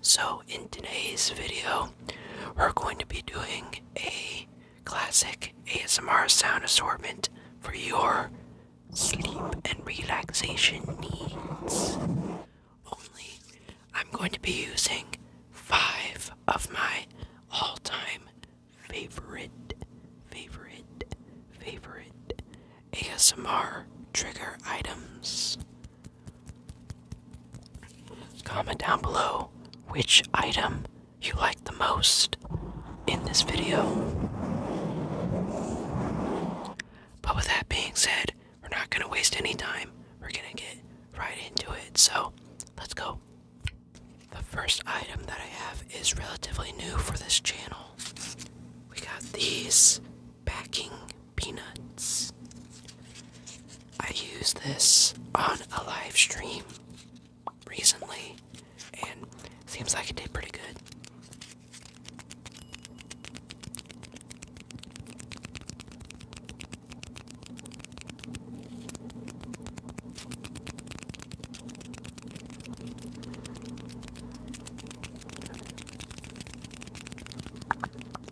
So, in today's video, we're going to be doing a classic ASMR sound assortment for your sleep and relaxation needs. Only, I'm going to be using five of my all time favorite, favorite, favorite ASMR trigger items. Comment down below which item you like the most in this video. But with that being said, we're not going to waste any time. We're going to get right into it. So let's go. The first item that I have is relatively new for this channel. We got these packing peanuts. I used this on a live stream recently and seems like it did pretty good.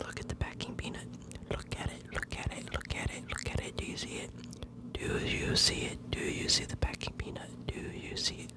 Look at the packing peanut. Look at it. Look at it. Look at it. Look at it. Do you see it? Do you see it? Do you see the packing peanut? Do you see it?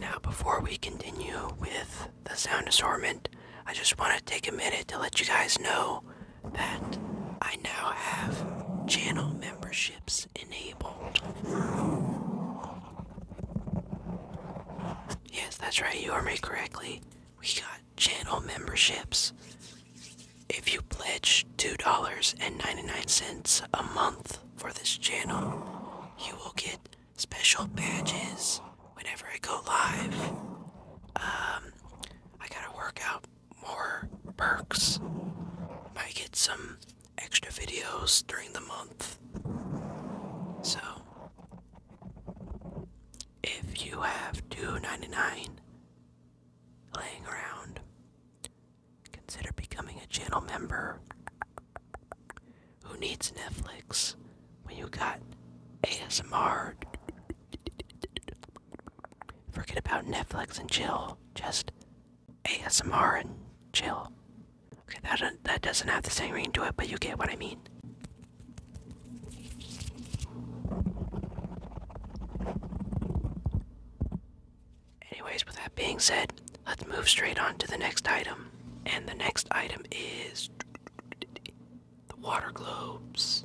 Now, before we continue with the sound assortment, I just want to take a minute to let you guys know that I now have channel memberships enabled. Yes, that's right, you heard me correctly we got channel memberships. If you pledge $2.99 a month for this channel, you will get special badges whenever I go live. Um, I gotta work out more perks. Might get some extra videos during the month. So, if you have two ninety nine laying around, consider becoming a channel member. Who needs Netflix when you got ASMR? Forget about Netflix and chill. Just ASMR and chill. Okay, that, that doesn't have the same ring to it, but you get what I mean. Anyways, with that being said, let's move straight on to the next item. And the next item is the water globes.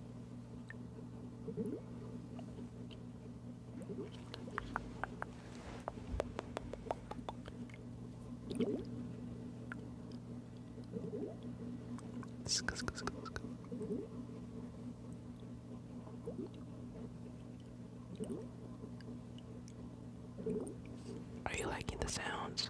Are you liking the sounds?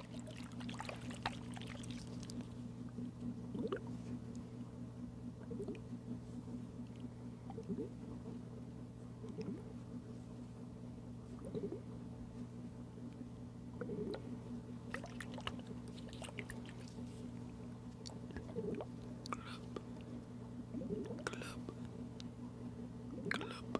Club, club, club,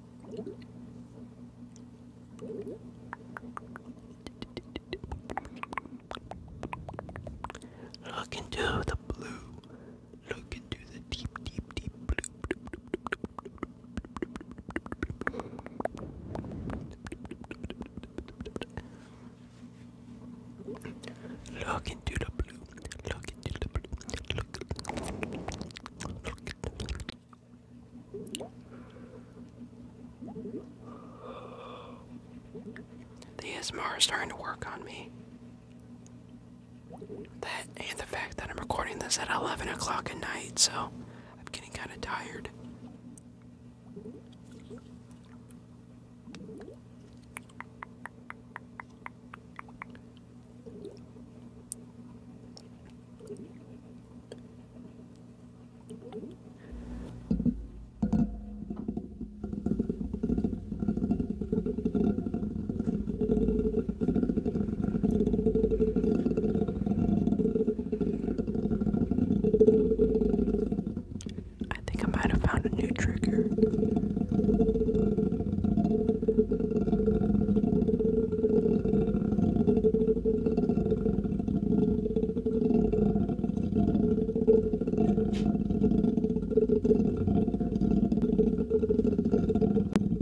Look into the blue. Look into the deep, deep, deep blue. Look into the blue. Look the ASMR is starting to work on me. That and the fact that I'm recording this at 11 o'clock at night, so I'm getting kind of tired. I think I might have found a new trigger.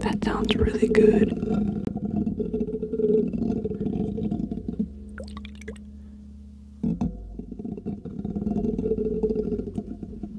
That sounds really good.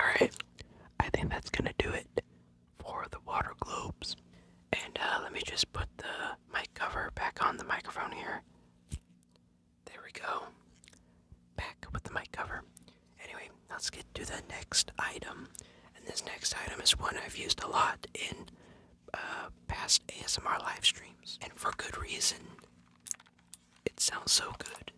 Alright, I think that's gonna do it for the water globes. And uh, let me just put the mic cover back on the microphone here. There we go. Back with the mic cover. Anyway, let's get to the next item. And this next item is one I've used a lot in uh, past ASMR live streams, and for good reason. It sounds so good.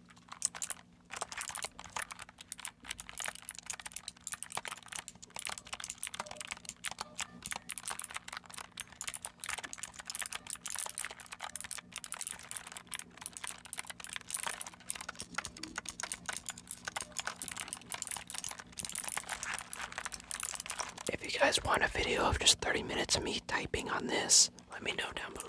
If you guys want a video of just 30 minutes of me typing on this, let me know down below.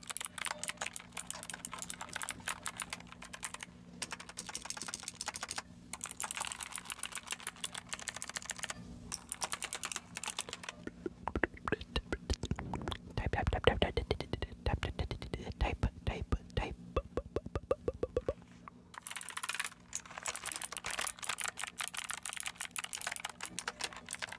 Type, type, type, type, type, type, type, type, type.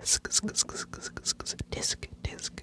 Disc, disc, disc, disc, disc, disc,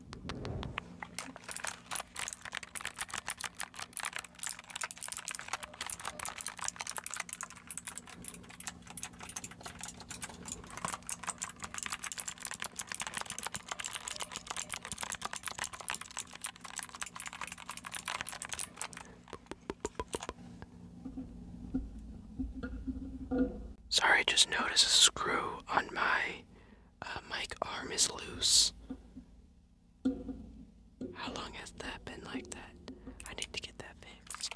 Sorry, just noticed a screw on my uh, Mike arm is loose. How long has that been like that? I need to get that fixed.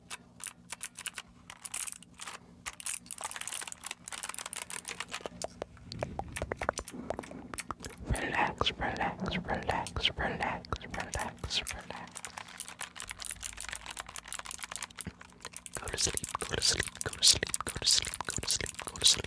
Relax, relax, relax, relax, relax, relax. Go to sleep, go to sleep, go to sleep, go to sleep, go to sleep, go to sleep, go to sleep.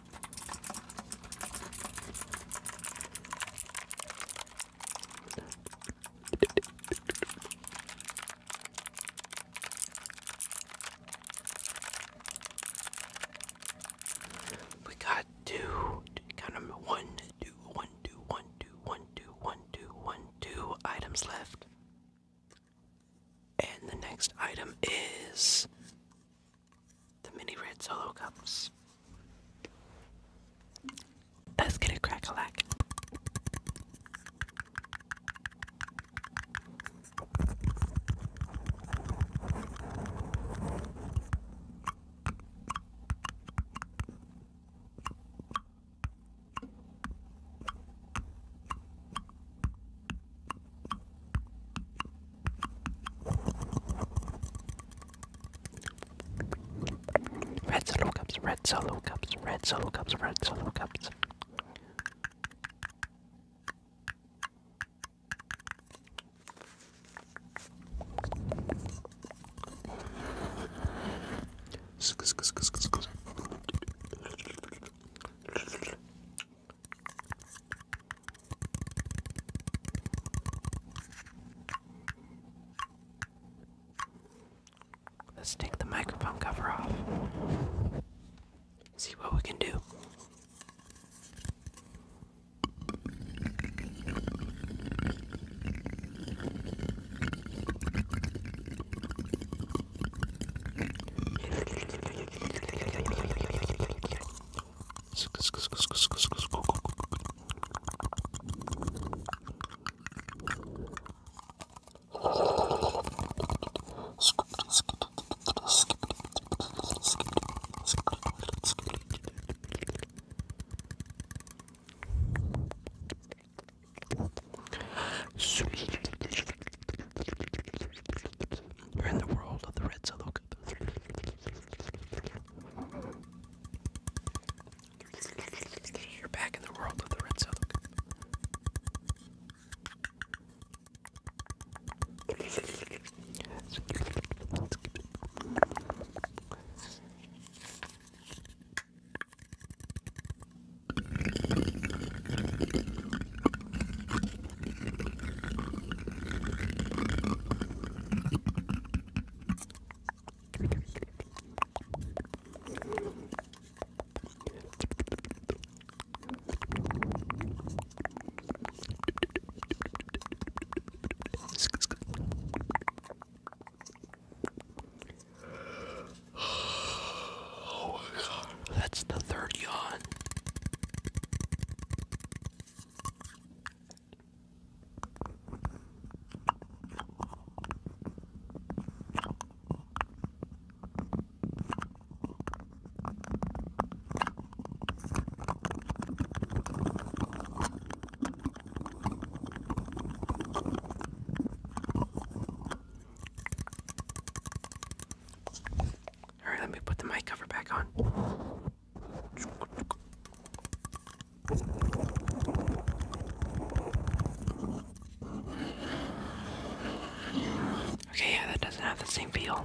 We got two, got them one, two, one, two, one, two, one, two, one, two. items left. And the next item is the mini red solo cups. Let's get a crack Red solo cups, red solo cups, red solo cups, red solo cups. Let's take the microphone cover off. See what we can do. You're in the world of the red solo cup. You're back in the world of the red silk. Oh my god, that's the third yawn. All right, let me put the mic cover back on. Okay, yeah, that doesn't have the same feel.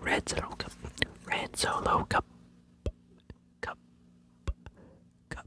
Red Solo Cup. Red Solo Cup. Cup. Cup.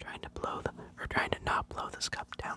Trying to blow the, or trying to not blow this cup down.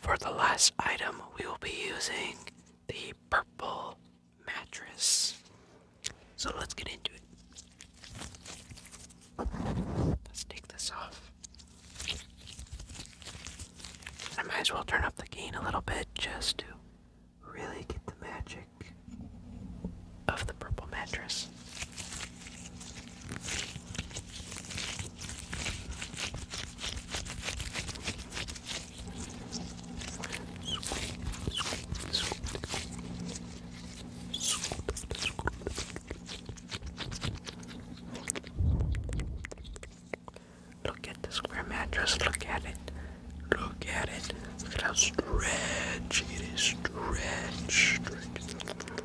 For the last item, we will be using the purple mattress. So let's get into it. Let's take this off. I might as well turn up the gain a little bit just to really get the magic of the purple mattress. Look at the square mattress, look at it. Look at it. Look at how stretchy it is. Stretch, stretch.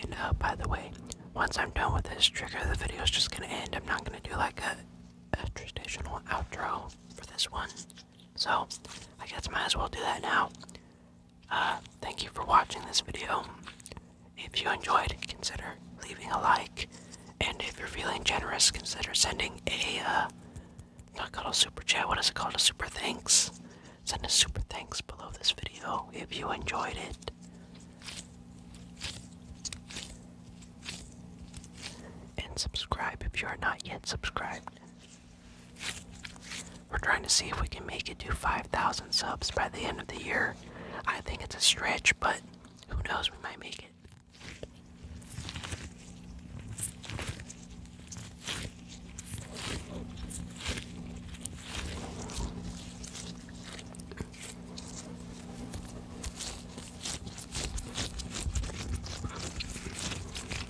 And uh, by the way, once I'm done with this trigger, the video is just gonna end. I'm not gonna do like a, a traditional outro for this one. So, I guess might as well do that now. Uh, thank you for watching this video. If you enjoyed, consider leaving a like. And if you're feeling generous, consider sending a, uh, not called a super chat, what is it called? A super thanks. Send a super thanks below this video if you enjoyed it. And subscribe if you are not yet subscribed. We're trying to see if we can make it to 5,000 subs by the end of the year. I think it's a stretch, but who knows, we might make it.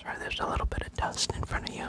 Sorry, there's a little bit of dust in front of you.